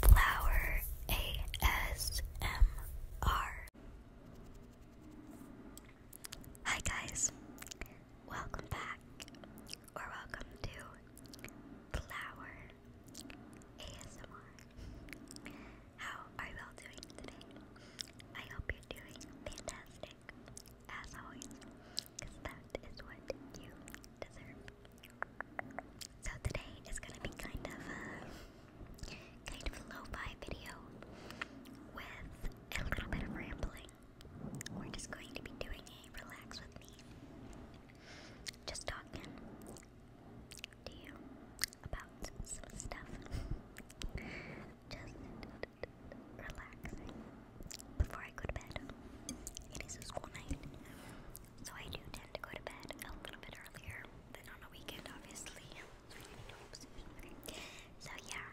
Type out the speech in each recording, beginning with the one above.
Flower ASMR. Hi, guys. Welcome back, or welcome to Flower ASMR. How are you all doing today? I hope you're doing fantastic, as always, that is what you deserve. So today is gonna be kind of uh, kind of a lo video with a little bit of rambling. We're just going to be doing a relax with me. Just talking to you about some stuff. Just relaxing before I go to bed. It is a school night. So I do tend to go to bed a little bit earlier than on a weekend, obviously. So yeah,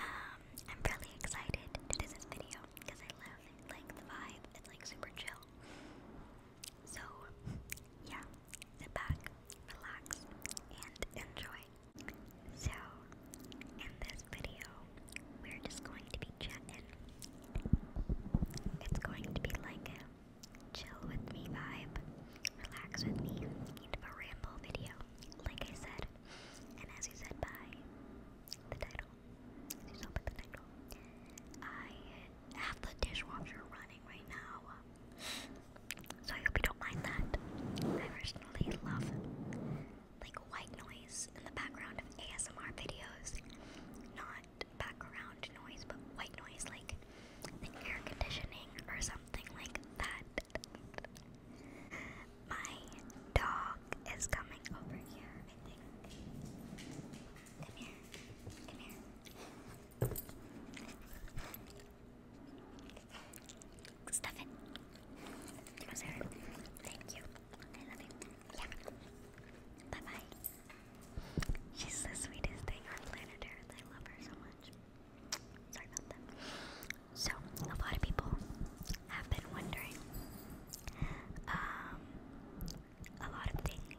um, I'm really excited to do this video because I love like the vibe. It's like super chill. So yeah, sit back, relax, and enjoy. So in this video, we're just going to be chatting. It's going to be like chill with me vibe, relax with me, kind of a ramble video, like I said. And as you said by the title, you saw by the title, I have the dishwasher running right now. So I hope you don't mind that. I personally love like white noise in the background of ASMR videos. Not background noise, but white noise like the air conditioning or something like that. My dog is coming over here, Come here. Come here. Stuff it. Thank you. I love you. Yeah. Bye bye. She's the sweetest thing on planet Earth. I love her so much. Sorry about that. So, a lot of people have been wondering um, a lot of things.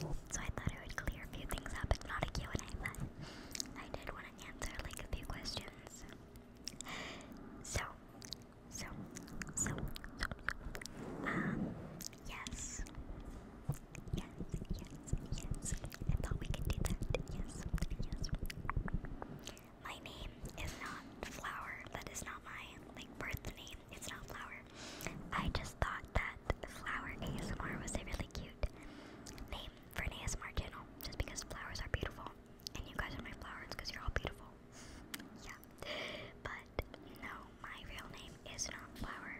So, I thought I would clear a few things up. It's not a and a but I did want to answer like a few questions so, so, so, so, um, yes. Yes, yes, yes. I thought we could do that. Yes, yes. My name is not Flower. That is not my like birth name. It's not Flower. I just thought that Flower ASMR was a really cute name for an ASMR channel, just because flowers are beautiful and you guys are my flowers because you're all beautiful. yeah. But no, my real name is not Flower.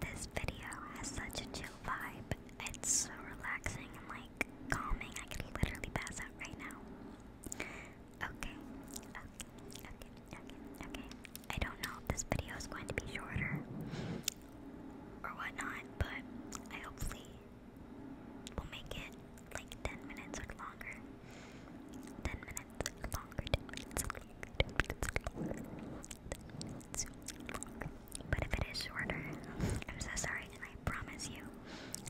This video has such a chill vibe. It's so relaxing and like calming. I could literally pass out right now. Okay. Okay. Okay. Okay. Okay. I don't know if this video is going to be shorter or whatnot, but I hopefully We'll make it like 10 minutes or longer. 10 minutes longer, longer, 10 minutes longer. longer. But if it is shorter, I'm so sorry, and I promise you,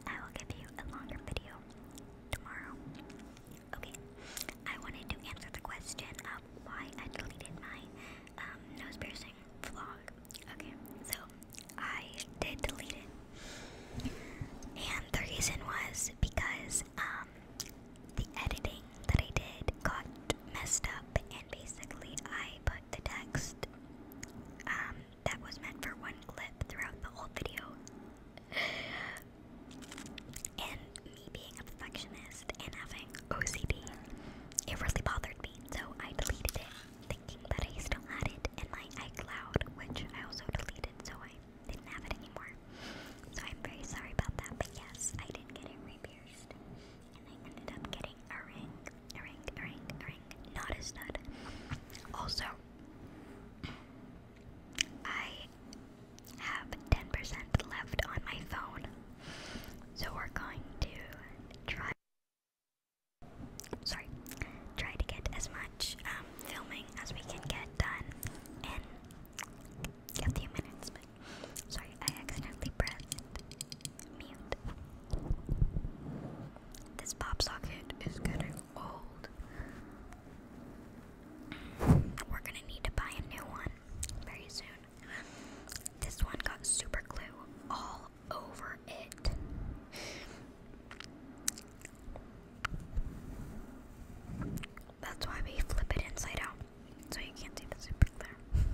I will give you a longer video tomorrow. Okay, I wanted to answer the question of why I deleted my um, nose piercing vlog. Okay, so I did delete it, and the reason was because um, the editing that I did got messed up, and basically I put the text um, that was meant for one clip throughout the whole video. And me being a perfectionist and having OCD, it really bothered me so I deleted it, thinking that I still had it in my iCloud, which I also deleted, so I didn't have it anymore. So I'm very sorry about that, but yes, I did get it re-pierced, and I ended up getting a ring, a ring, a ring, a ring, not a stud. Also, I have 10% left on my phone. So we're going to try sorry, try to get as much um, filming as we can get done in a few minutes. sorry, I accidentally pressed mute. This pop socket is getting old. We're gonna need to buy a new one very soon. This one got super glue all over it. That's why we flip it inside out, so you can't see the super glue.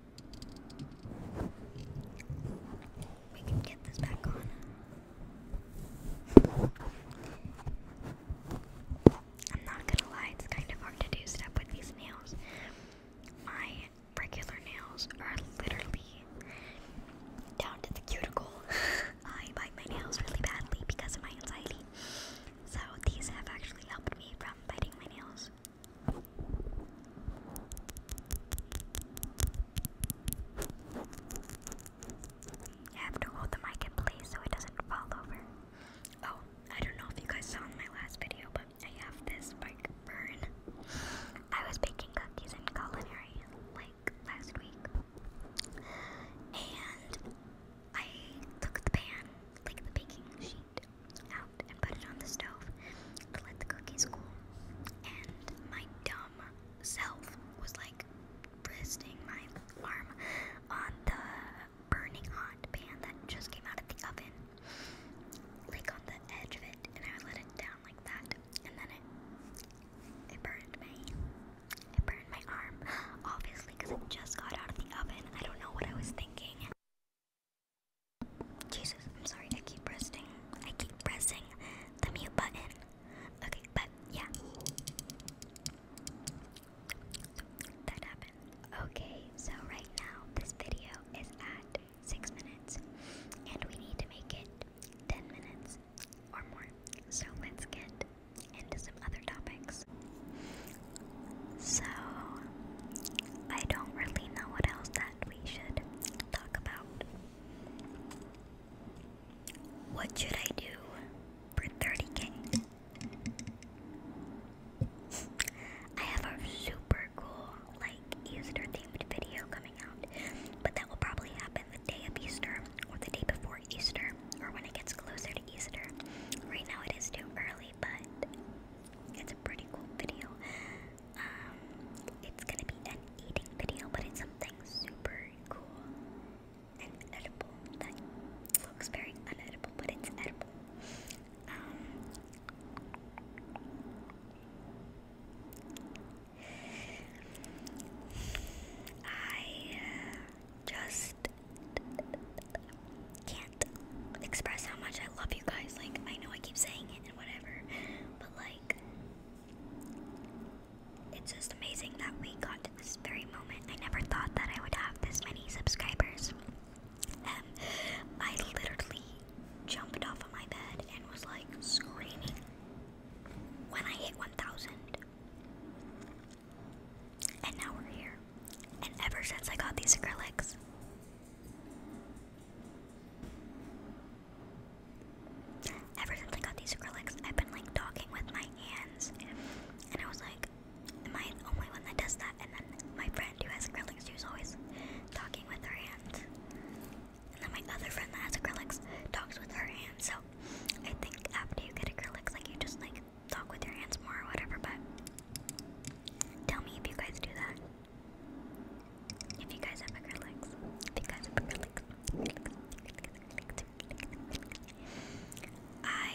I'm not gonna lie, it's kind of hard to do stuff with these nails. My regular nails are literally down to the cuticle. I bite my nails really badly because of my anxiety. So these have actually helped me from biting my nails. I have to hold the mic in place so it doesn't fall over. Oh, I don't know if you guys saw in my last video, but I have this mic burn. I was baking cookies in culinary like last week, and I took the pan, like the baking sheet, out and put it on the stove to let the cookies cool. And my dumb self was like resting my arm on the burning hot pan that just came out of the oven, like on the edge of it, and I let it down like that, and then it it burned me. It burned my arm, obviously, because it just got out of the oven. I don't know what I was thinking. Jesus, I'm sorry, I keep pressing. I keep pressing the mute button. Okay, but yeah. That happened. Okay, so right now this video is at 6 minutes and we need to make it 10 minutes or more. So let's get into some other topics. So, I don't really know what else that we should talk about. What should I do for 30k? I have a super cool, like, Easter themed video coming out, but that will probably happen the day of Easter or the day before Easter or when it gets closer to Easter. Right now, it is too early but it's a pretty cool video. Um, it's gonna be an eating video, but it's something super cool and edible that looks very unedible, but it's edible. Um, I uh, just can't express how much I love you guys. Like, I know I keep saying it and whatever, but like, it's just amazing that we got to this very moment. I never thought that I would have this many subscribers. and um, I literally jumped off of my bed and was like screaming when I hit 1,000. And now we're here. And ever since I got these acrylics, ever since I got these acrylics, I've been like talking with my hands. And I was like, am I the only one that does that? And then my friend who has acrylics, she was always talking with her hands. And then my other friend that has acrylics talks with her hands. So I think after you get acrylics, like you just like talk with your hands more or whatever, but tell me if you guys do that. If you guys have acrylics. If you guys have acrylics. acrylics, I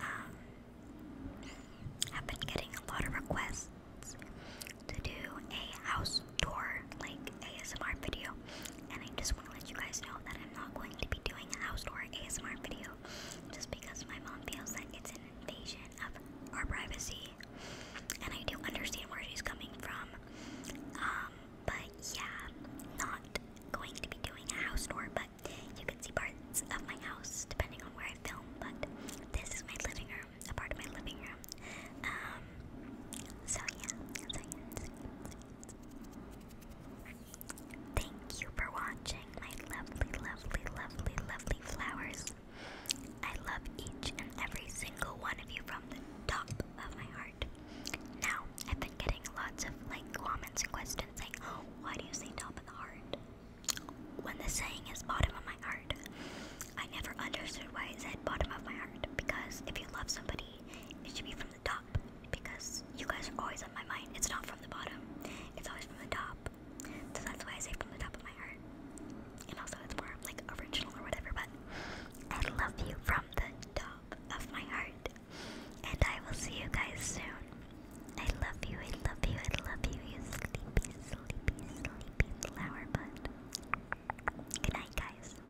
um, have been getting a lot of requests to do a house tour, like ASMR video, and I just want to let you guys know that I'm not going to be doing a house tour ASMR video just because my mom feels that it's an invasion of our privacy. And I do understand where she's coming from. Um, but yeah, not going to be doing a house tour, but you can see parts of my house depending on where I film. But this is my living room, a part of my living room. Um, so yeah, so yeah, so yeah, so Thank you for watching, my lovely, lovely, lovely, lovely flowers. I love each and every single one of you from the top of my heart. Now, I've been getting lots of like comments and questions saying, why do you say top of the heart? When the saying is bottom of my heart. I never understood why it said bottom of my heart because if you love somebody, it should be from the top because you guys are always on my mind. It's not from the bottom, it's always from the top. So that's why I say from the top of my heart. And also, it's more like original or whatever, but I love you from the top of my heart. And I will see you guys soon. I love you, I love you, I love you, you sleepy, sleepy, sleepy flower bud. Good night, guys.